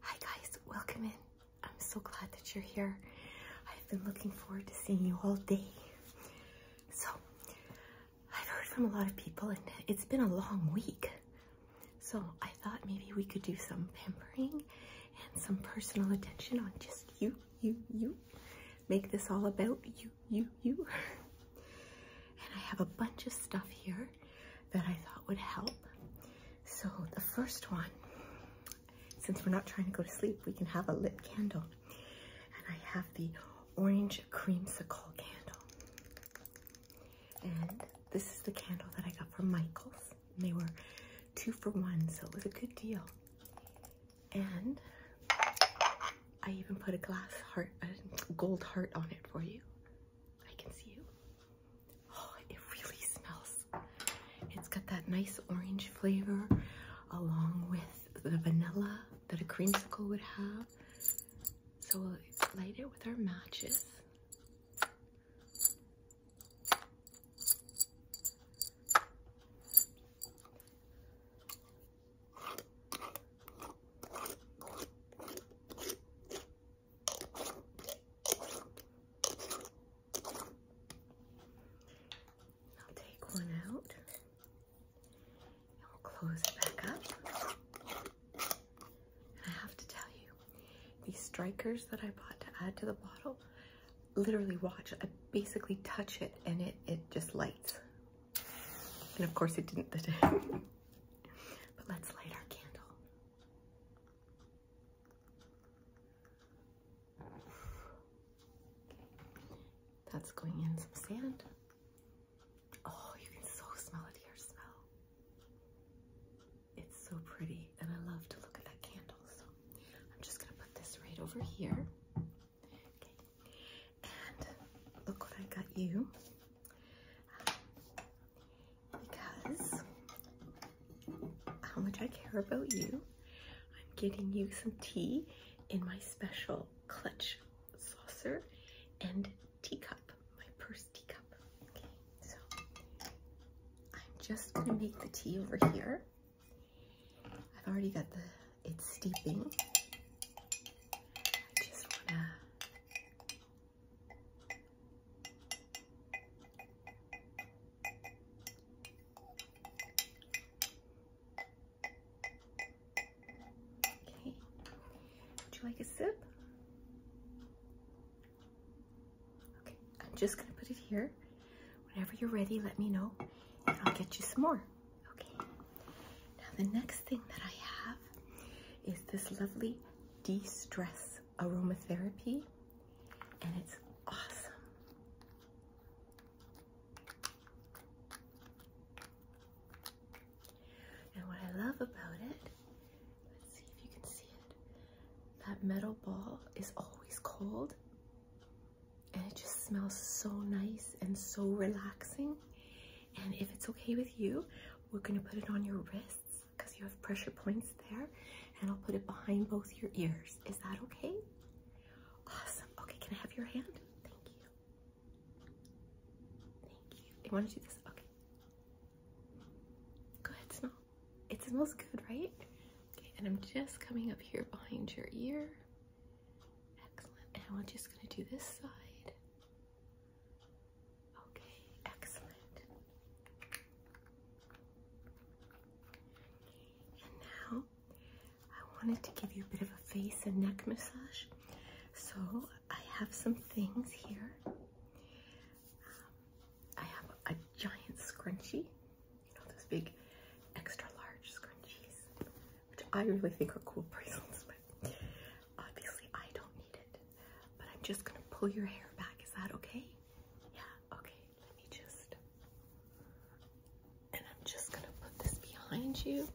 Hi guys, welcome in. I'm so glad that you're here. I've been looking forward to seeing you all day. So, I've heard from a lot of people and it's been a long week. So, I thought maybe we could do some pampering and some personal attention on just you, you, you. Make this all about you, you, you. And I have a bunch of stuff here that I thought would help. So the first one, since we're not trying to go to sleep, we can have a lit candle. And I have the orange creamsicle candle. And this is the candle that I got from Michael's. they were two for one, so it was a good deal. And I even put a glass heart, a gold heart on it for you. I can see you. Oh, it really smells. It's got that nice orange flavor along with the vanilla that a creamsicle would have. So we'll light it with our matches. I'll take one out we'll close it back up. I have to tell you, these strikers that I bought to add to the bottle, literally watch, I basically touch it and it, it just lights. And of course it didn't the but let's light our candle. That's going in some sand. Oh, you can so smell it here, smell. It's so pretty, and I love to look at that candle. So I'm just gonna put this right over here. and look what I got you because how much I care about you. I'm getting you some tea in my special clutch saucer and teacup, my purse teacup. Okay, so I'm just gonna make the tea over here. I've already got the it's steeping. I just wanna Okay. Would you like a sip? Okay, I'm just gonna put it here. Whenever you're ready, let me know and I'll get you some more. Okay. Now the next thing that I have is this lovely de-stress aromatherapy and it's awesome. And what I love about it, let's see if you can see it, that metal ball is always cold and it just smells so nice and so relaxing. And if it's okay with you, we're gonna put it on your wrist because you have pressure points there, and I'll put it behind both your ears. Is that okay? Awesome. Okay, can I have your hand? Thank you. Thank you. You want to do this? Okay. Go ahead, smell. It smells good, right? Okay, and I'm just coming up here behind your ear. Excellent. And I'm just going to do this side. Okay, excellent. And now I wanted to give you a bit of a face and neck massage. So I have some things here. Um, I have a giant scrunchie, you know, those big extra large scrunchies, which I really think are cool bracelets, but obviously I don't need it but I'm just gonna pull your hair back. Is that okay? Yeah, okay. Let me just. And I'm just gonna put this behind you.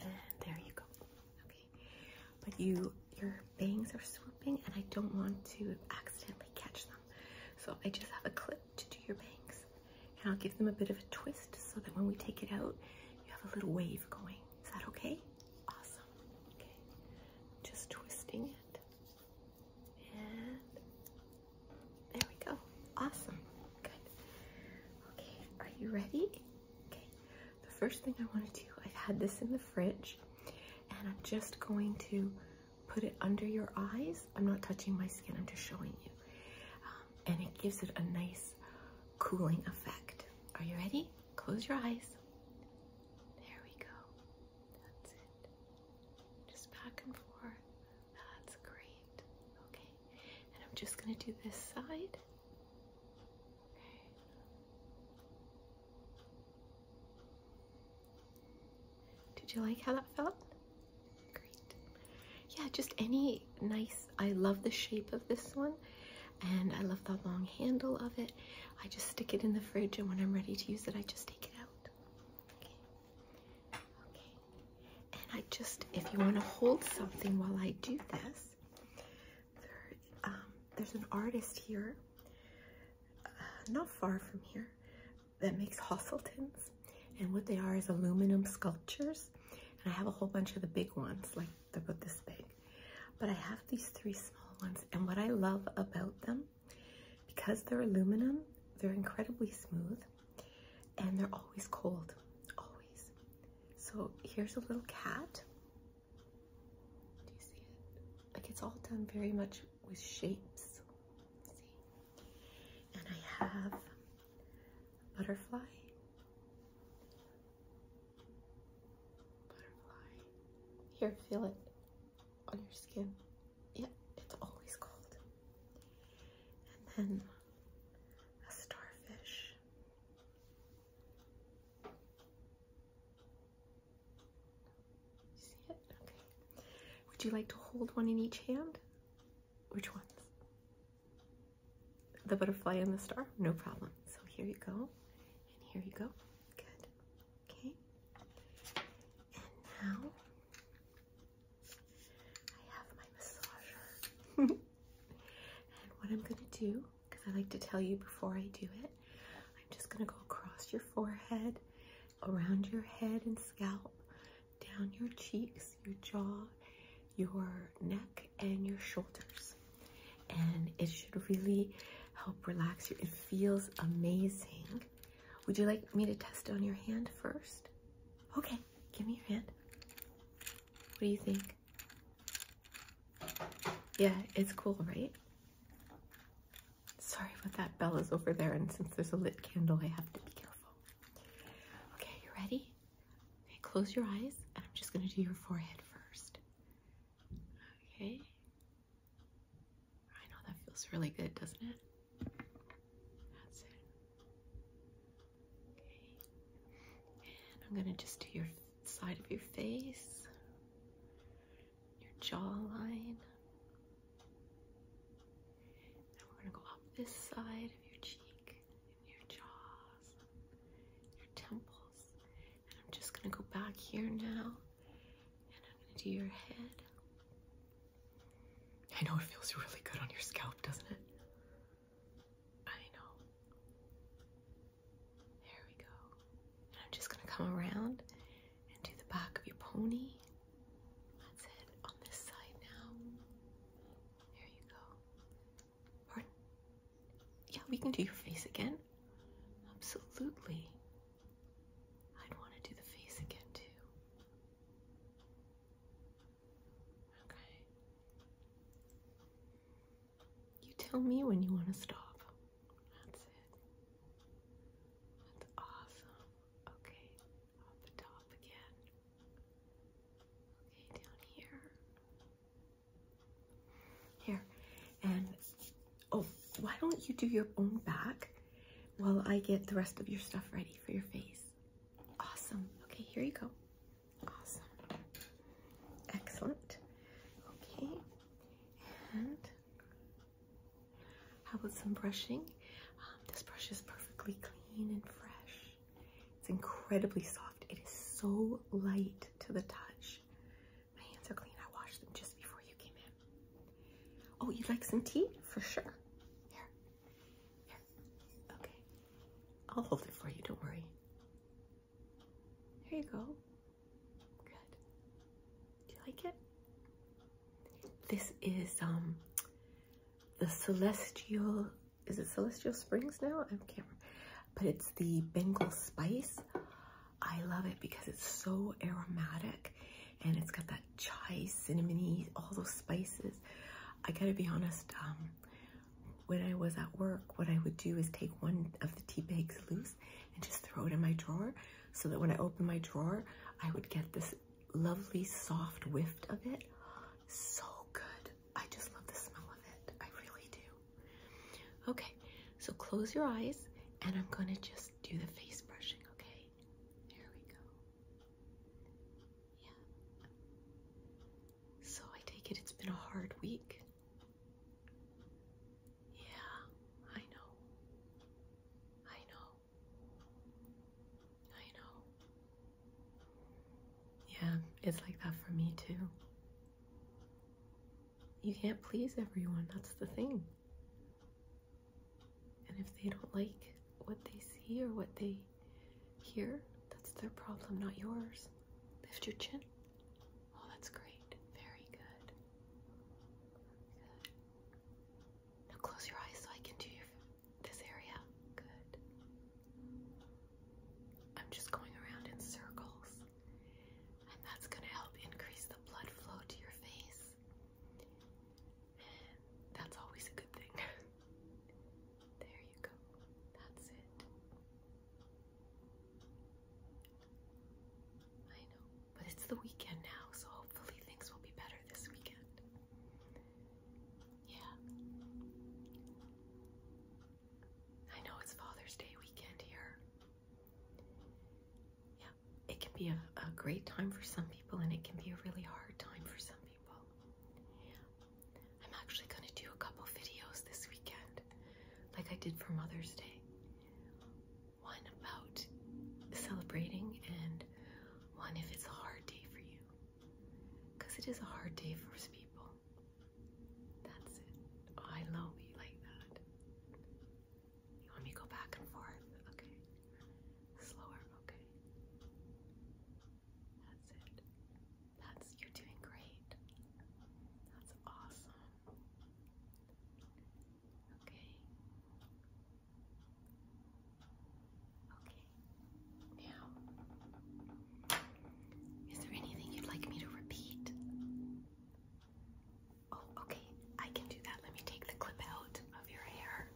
And there you go. Okay. But you your bangs are swooping and I don't want to accidentally catch them. So I just have a clip to do your bangs. And I'll give them a bit of a twist so that when we take it out, you have a little wave going. Is that okay? Awesome. Okay. Just twisting it. And there we go. Awesome. Good. Okay. Are you ready? Okay. The first thing I want to do, I've had this in the fridge and I'm just going to put it under your eyes. I'm not touching my skin. I'm just showing you. Um, and it gives it a nice cooling effect. Are you ready? Close your eyes. There we go. That's it. Just back and forth. That's great. Okay. And I'm just going to do this side. Okay. Did you like how that felt? Great. Yeah, just any nice, I love the shape of this one and I love the long handle of it. I just stick it in the fridge, and when I'm ready to use it, I just take it out. Okay. Okay. And I just, if you want to hold something while I do this, um, there's an artist here, uh, not far from here, that makes Hosseltons. And what they are is aluminum sculptures. And I have a whole bunch of the big ones, like they're about this big. But I have these three small ones, and what I love about them, because they're aluminum, they're incredibly smooth and they're always cold. Always. So here's a little cat. Do you see it? Like it's all done very much with shapes. See? And I have butterfly. Butterfly. Here, feel it on your skin. Yeah, it's always cold. And then a starfish. see it? Okay. Would you like to hold one in each hand? Which ones? the butterfly and the star, no problem. So here you go, and here you go. Good. Okay. And now I have my massager. and what I'm going to do, because I like to tell you before I do it, I'm just going to go across your forehead, around your head and scalp, down your cheeks, your jaw, your neck, and your shoulders. And it should really help relax you. It feels amazing. Would you like me to test on your hand first? Okay, give me your hand. What do you think? Yeah, it's cool, right? Sorry, but that bell is over there, and since there's a lit candle, I have to be careful. Okay, you ready? Okay, close your eyes, and I'm just gonna do your forehead first. Okay. I know that feels really good, doesn't it? That's it. Okay. I'm going to just do your side of your face, your jawline. Now we're going to go up this side of your cheek, your jaws, your temples, I'm just going to go back here now. And I'm going to do your head. I know it feels really good on your scalp, doesn't it? I know. There we go. And I'm just going to come around and do the back of your pony. That's it. On this side now. There you go. Yeah, we can do your face again. Absolutely. I'd want to do the face again too. Okay. You tell me when you want to stop. That's it. That's awesome. Okay, up top again. Okay, down here. Here. And oh, why don't you do your own back while I get the rest of your stuff ready for your face? Awesome. Okay, here you go. Awesome. Excellent. Okay. And how about some brushing? Um, this brush is perfectly clean and fresh. It's incredibly soft. It is so light to the touch. My hands are clean. I washed them just before you came in. Oh, you'd like some tea? For sure. Here. Here. Okay. I'll hold it for you. Don't worry. Here you go. Good. Do you like it? This is um the celestial is it celestial springs now? I am camera but it's the Bengal spice. I love it because it's so aromatic and it's got that chai, cinnamony, all those spices. I gotta be honest, um, when I was at work, what I would do is take one of the tea bags loose and just throw it in my drawer so that when I open my drawer, I would get this lovely soft whiff of it. So good. I just love the smell of it. I really do. Okay, so close your eyes and I'm going to just do the face brushing, okay? There we go. Yeah. So I take it it's been a hard week. Yeah, I know. I know. I know. Yeah, it's like that for me too. You can't please everyone, that's the thing. And if they don't like what they see or what they hear, that's their problem, not yours. Lift your chin. Oh, that's great. Very good. Now close your eyes so I can do your, this area. Good. I'm just going around in circles, and that's going to help increase the blood flow to your face. And that's always a good thing. there you go. That's it. I know, but it's the weekend now, so hopefully things will be better this weekend. Yeah. I know it's Father's Day weekend here. Yeah, it can be a, a great time for some people and it can be a really hard time for some people. Yeah. I'm actually going to do a couple videos this weekend, like I did for Mother's Day. One about celebrating and one if it's a hard day for you. Because it is a hard day for people. That's it. Oh, I love you like that. You want me to go back and forth? Okay. Slower, okay. That's it. That's you're doing great. That's awesome. Okay. Okay. Now is there anything you'd like me to repeat? Oh, okay. I can do that. Let me take the clip out of your hair.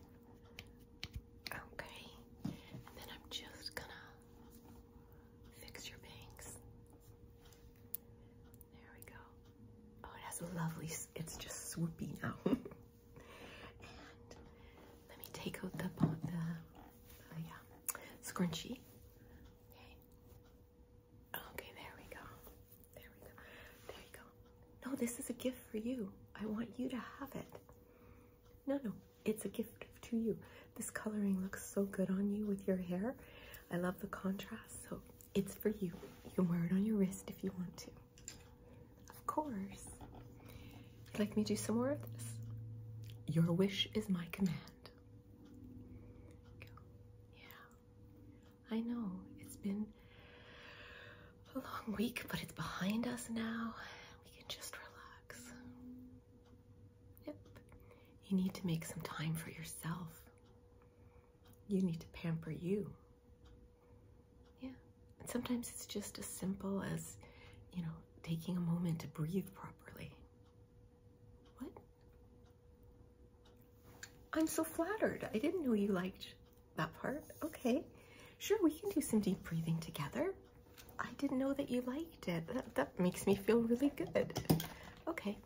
Okay. And then I'm just gonna fix your bangs. There we go. Oh, it has a lovely, it's just swoopy now. and let me take out the, the, yeah, scrunchie. Okay. Okay, there we go. There we go. There you go. No, this is a gift for you. I want you to have it. No, no, it's a gift to you. This coloring looks so good on you with your hair. I love the contrast, so it's for you. You can wear it on your wrist if you want to. Of course. You'd like me to do some more of this? Your wish is my command. Yeah. I know it's been a long week, but it's behind us now. We can just relax. Yep. You need to make some time for yourself. You need to pamper you. Yeah. sometimes it's just as simple as, you know, taking a moment to breathe properly. What? I'm so flattered. I didn't know you liked that part. Okay. Sure, we can do some deep breathing together. I didn't know that you liked it. That, that makes me feel really good. Okay,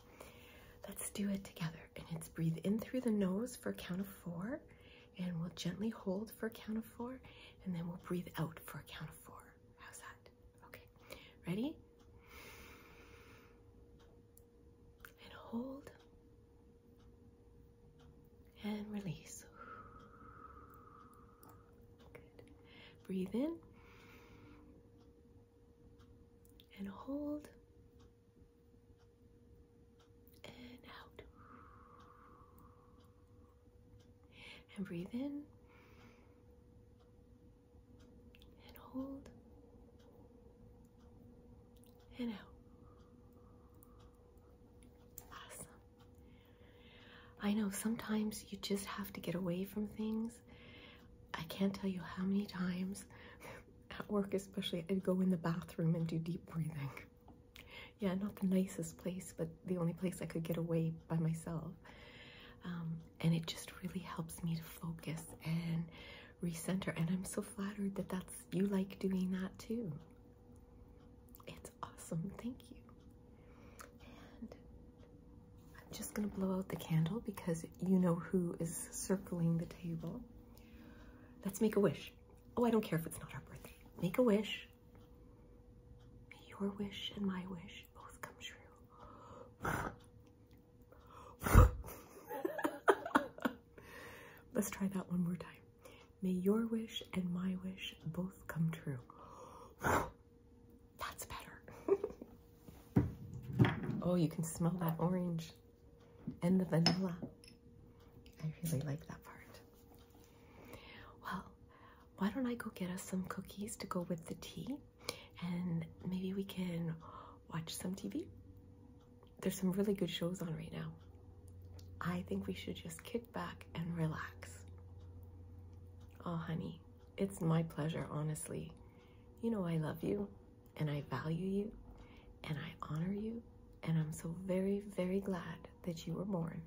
let's do it together. And it's breathe in through the nose for a count of four, and we'll gently hold for a count of four, and then we'll breathe out for a count of four. How's that? Okay, ready? And hold and release. Good. Breathe in and hold and out. And breathe in and hold and out. Awesome. I know sometimes you just have to get away from things. I can't tell you how many times at work, especially, I'd go in the bathroom and do deep breathing. Yeah, not the nicest place, but the only place I could get away by myself. Um, and it just really helps me to focus and recenter. And I'm so flattered that that's you like doing that too. It's awesome. Thank you. I'm just going to blow out the candle because you know who is circling the table. Let's make a wish. Oh, I don't care if it's not our birthday. Make a wish. May your wish and my wish both come true. Let's try that one more time. May your wish and my wish both come true. That's better. oh, you can smell that orange and the vanilla. I really like that part. Well, why don't I go get us some cookies to go with the tea and maybe we can watch some TV? There's some really good shows on right now. I think we should just kick back and relax. Oh, honey, it's my pleasure, honestly. You know, I love you and I value you and I honor you, and I'm so very, very glad that you were born.